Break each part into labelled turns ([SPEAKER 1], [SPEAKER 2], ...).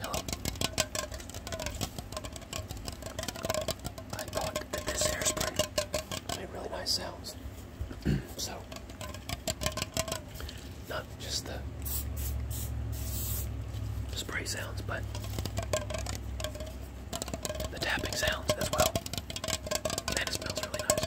[SPEAKER 1] Hello. I thought that this hairspray made really nice sounds. so, not just the spray sounds, but the tapping sounds as well. And it smells really nice.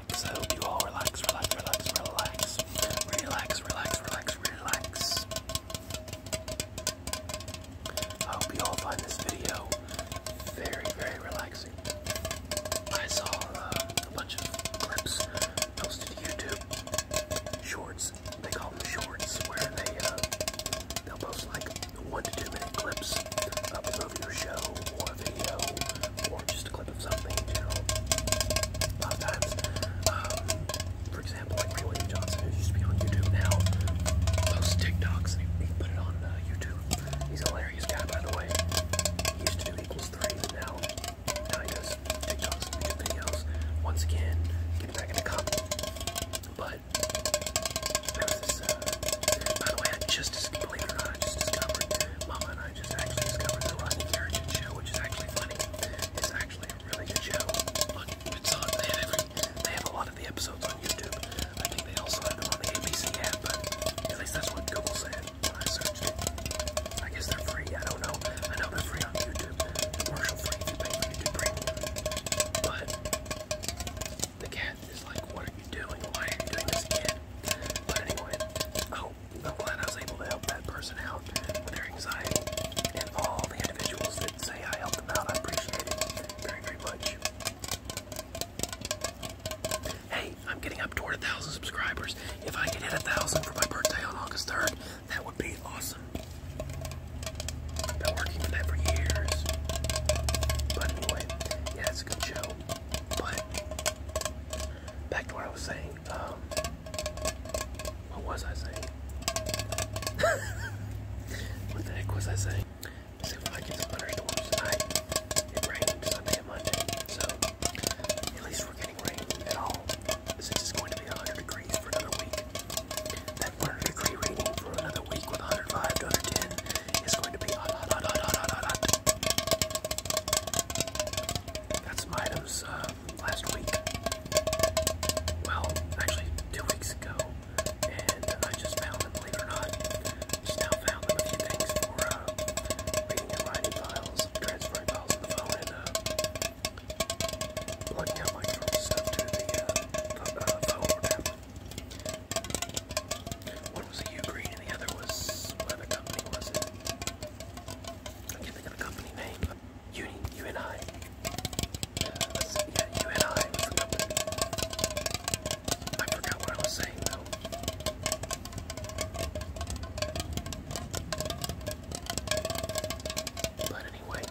[SPEAKER 1] relax. I hope you all relax, relax, relax, relax. Relax, relax, relax, relax. I hope you all find this video very, very relaxing. I saw uh, a bunch of clips posted to YouTube. Shorts. They call them shorts, where they uh, they'll post like one to two minute clips of a show a video or just a clip of something in general. A lot of times, um, for example, like Rayway Johnson, who used to be on YouTube now, posts TikToks and he, he put it on uh, YouTube. He's a hilarious guy, by the way. He used to do equals three, but now, now he does TikToks and YouTube videos. Once again, get back in the comment. But there was this. Uh, by the way, I just believe it or not, I just discovered Mama and I just actually discovered the Rodney Carrington show, which is actually funny. It's actually a really good show. Look, it's on. They have, every, they have a lot of the episodes on YouTube. I think they also have them on the ABC app, but at least that's what Google said when I searched it. I guess they're free. I don't know. I know they're free on YouTube. Commercial free if you pay for YouTube Premium. But the cat is like, what are you doing? Why are you doing this again? But anyway, I oh, I'm glad I was able to help that person out with their anxiety. And all the individuals that say I helped them out, I appreciate very, very much. Hey, I'm getting up toward a thousand subscribers. If I could hit a thousand for my birthday on August 3rd, that would be awesome. Been working for that for years. But anyway, yeah, it's a good show. But back to what I was saying. Um, what was I saying? what the heck was I saying? See if I get some thunderstorms tonight. It rained Sunday Monday, so at least we're getting rain at all. Since it's going to be 100 degrees for another week. That 100 degree reading for another week with 105 to 110 it's going to be hot, hot, hot, hot, hot, hot, hot. That's my items uh, last week. Well, actually, two weeks ago. And I just found them, believe it or not. Just now found them a few things for uh, reading and writing files, transferring files on the phone, and uh, plugging out my stuff to the uh, uh phone or tablet. One was a U Green the other was whatever company was it? I can think the company name. Uni, UNI. Uh, that's, yeah, UNI was the I forgot what I was saying though. But anyway,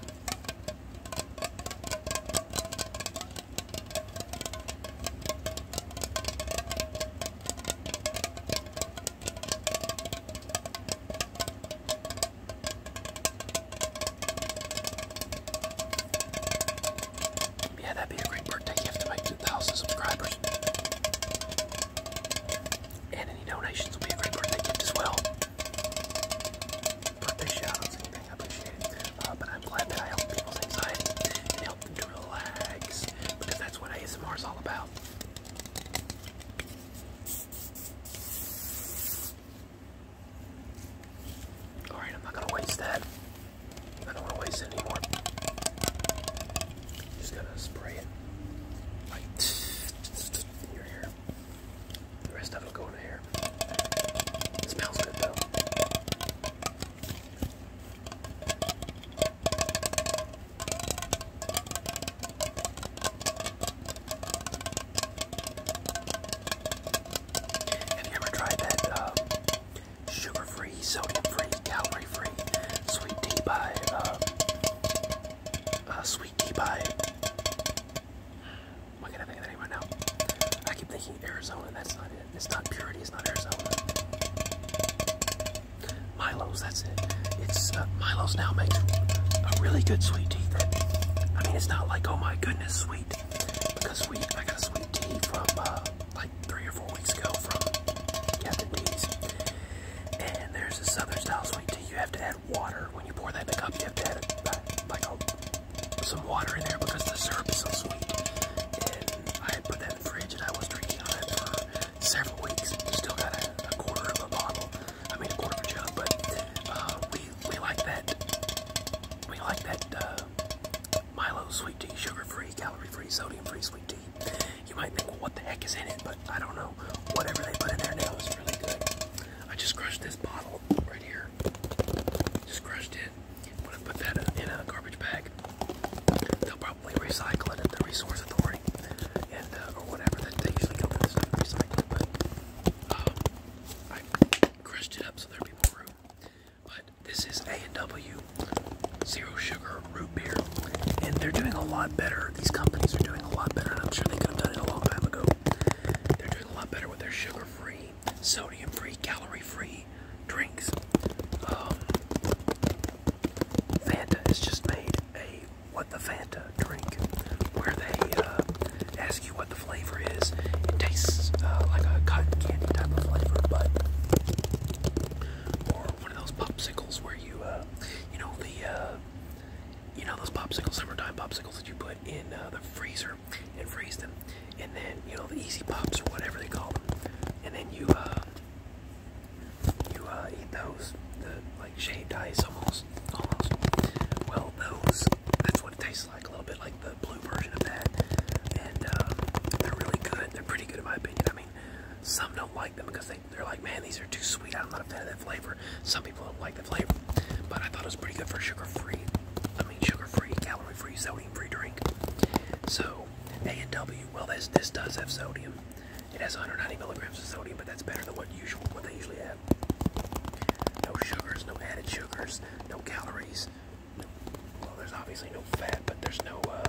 [SPEAKER 1] yeah, that'd be a great birthday gift to my 2,000 subscribers. And any donations will be a great birthday gift as well. Birthday shout I appreciate it. Uh, I'm glad that I help people's anxiety and help them to relax because that's what ASMR is all about. Alright, I'm not gonna waste that. I don't wanna waste anymore. Just gonna spray it in your hair. The rest of it will in the smells good though. Have you ever tried that uh, sugar-free, sodium-free, calorie-free sweet tea by uh, uh sweet tea by why can I think of right now? I keep thinking Arizona. That's not it. It's not Purity. It's not Arizona. Milo's. That's it. It's uh, Milo's now makes a really good sweet tea. I mean, it's not like oh my goodness sweet because sweet. I got a sweet tea from uh, like three or four weeks ago from Captain D's, and there's a southern style sweet tea. You have to add water when you pour that in a cup. You have to add it uh, like a some water in there because the syrup is so sweet. And I had put that in the fridge and I was drinking on it for several weeks. Still got a, a quarter of a bottle. I mean, a quarter of a jug, but uh, we, we like that. We like that uh, Milo sweet tea, sugar-free, calorie-free, sodium-free sweet tea. You might think, well, what the heck is in it? But I don't know. Whatever they put in there now is really good. I just crushed this bottle right here. Just crushed it. I'm gonna put that in a garbage bag. They'll probably recycle it at the Resource Authority, and uh, or whatever that they usually come with. Recycle, but uh, I crushed it up so there'd be more room. But this is A and W zero sugar root beer, and they're doing a lot better. These companies are doing a lot better, and I'm sure they could have done it a long time ago. They're doing a lot better with their sugar-free sodium-free, calorie-free drinks. Um, Fanta has just made a What the Fanta drink, where they uh, ask you what the flavor is. It tastes uh, like a cotton candy type of flavor, but or one of those popsicles where you, uh, you know the, you know those popsicles, summertime popsicles that you put in the freezer freezer and freeze them. And then, you know, the easy pops or whatever they call them. And then you, uh, you, uh, eat those, the, like, shaved ice almost, almost. Well, those, that's what it tastes like, a little bit like the blue version of that. And, um, they're really good. They're pretty good in my opinion. I mean, some don't like them because they, they're like, man, these are too sweet. I'm not a fan of that flavor. Some people don't like the flavor, but I thought it was pretty good for sugar-free. I mean, sugar-free, calorie-free, sodium-free drink. So A and W. Well, this this does have sodium. It has 190 milligrams of sodium, but that's better than what usual what they usually have. No sugars, no added sugars, no calories. well, there's obviously no fat, but there's no uh,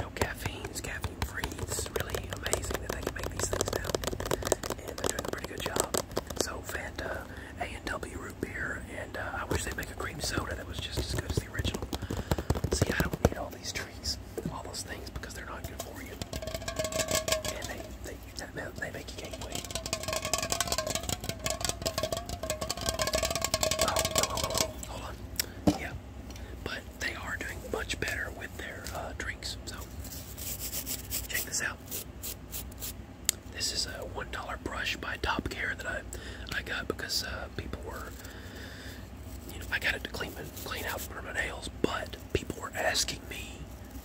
[SPEAKER 1] no caffeine. caffeine-free. It's really amazing that they can make these things now and they're doing a pretty good job. So Fanta, A&W root beer, and uh, I wish they'd make a cream soda that was just as good as the original. See, I don't need all these treats, all those things, because they're not good for you. And they, they, they make you gain weight. Oh oh, oh, oh, oh, hold on. Yeah, but they are doing much better with their uh, drinks, so check this out. This is a one dollar brush by Top Gear that I I got because uh, people were you know I got it to clean clean out for my nails, but people were asking me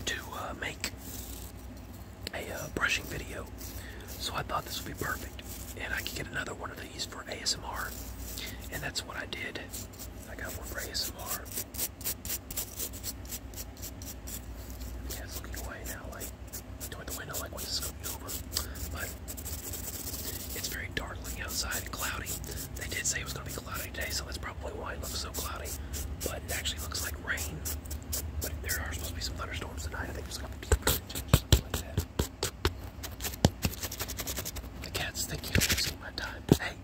[SPEAKER 1] to uh, make a uh, brushing video, so I thought this would be perfect, and I could get another one of these for ASMR, and that's what I did. I got one for ASMR, yeah, it's looking away now, like toward the window, like what's this going over? But it's very dark outside and cloudy. They did say it was gonna be cloudy today, so that's probably why it looks so cloudy. But it actually looks like rain. But there are supposed to be some thunderstorms tonight. I think it's gonna be something like that. The cat's thinking I'm wasting my time. Hey,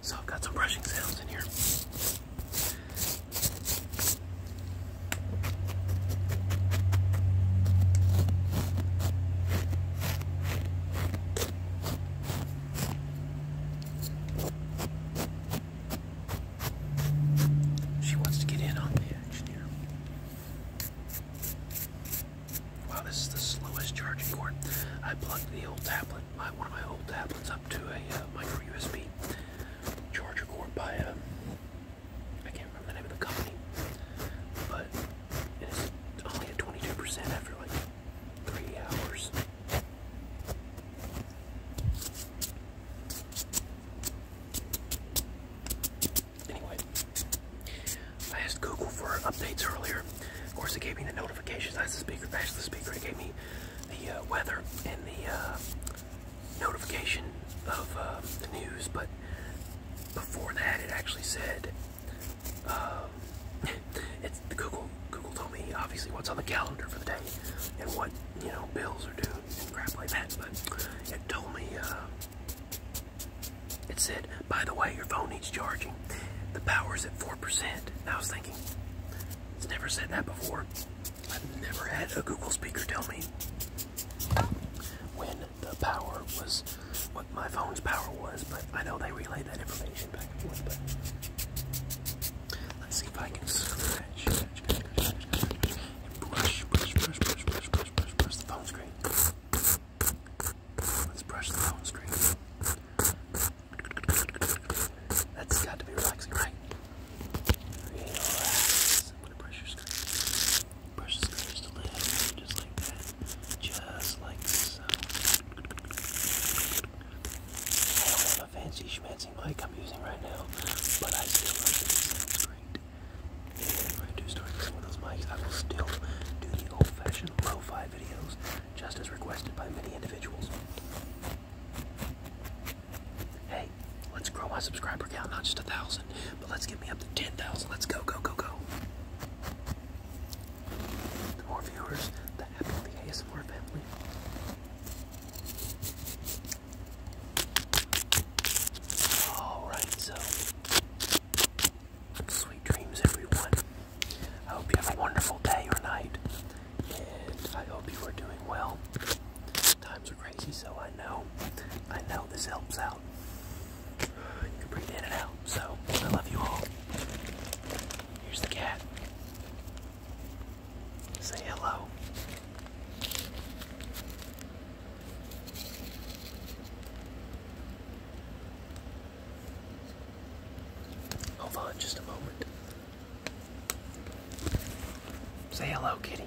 [SPEAKER 1] So I've got some brushing sounds in here. She wants to get in on the action here. Wow, this is the slowest charging cord. I plugged the old tablet, one of my old tablets, up to a uh, micro USB charger cord by um, can't remember the name of the company, but it's only at 22% after like three hours. Anyway, I asked Google for updates earlier. Of course, it gave me the notifications. That's the speaker. That's the speaker. It gave me the uh, weather and the uh, notification of uh, the news. But before that, it actually said um, it's Google. Google told me obviously what's on the calendar for the day and what you know bills are due and crap like that. But it told me. It said, by the way, your phone needs charging. The power's at 4%. And I was thinking, it's never said that before. I've never had a Google speaker tell me when the power was, what my phone's power was, but I know they relay that information back and forth, but let's see if I can scratch, scratch, scratch, scratch, scratch, scratch, and brush, brush, brush, brush, brush, brush, brush, brush the phone screen. Let's brush the phone screen. That's got to be relaxing, right? Relax. I'm gonna brush your screen. the screen just like that. Just like so. I don't have a fancy schmancy mic I'm using right now, but I still love it. It sounds great. I do start using those mics, I will still do the old-fashioned low fi videos, just as requested by many individuals. Hey, let's grow my subscriber count, not just a thousand, but let's get me up to 10,000. Let's go, go, go, go. The more viewers, the happier the ASMR family. Alright, so Sweet dreams, everyone. I hope you have a wonderful day or night, and I hope you are doing well. Times are crazy, so I know, I know this helps out. You can breathe in and out. So I love you all. Here's the cat. Say hello. Hold on just a moment. Say hello, kitty.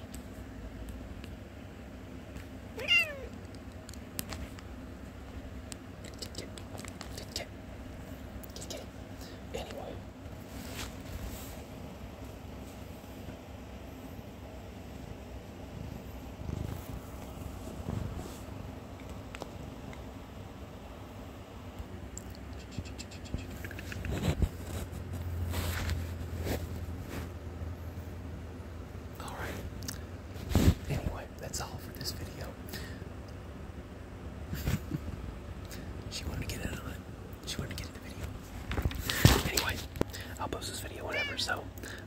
[SPEAKER 1] All right. Anyway, that's all for this video. she wanted to get it She wanted to get in the video. Anyway, I'll post this video Whatever, so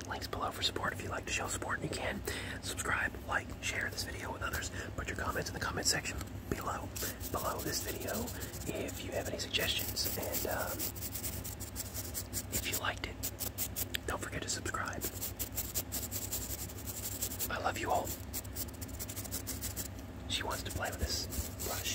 [SPEAKER 1] links below for support if you'd like to show support you can. Subscribe, like, share this video with others. Put your comments in the comment section below, below this video if you have any suggestions. And um, if you liked it, don't forget to subscribe. I love you all. She wants to play with this brush.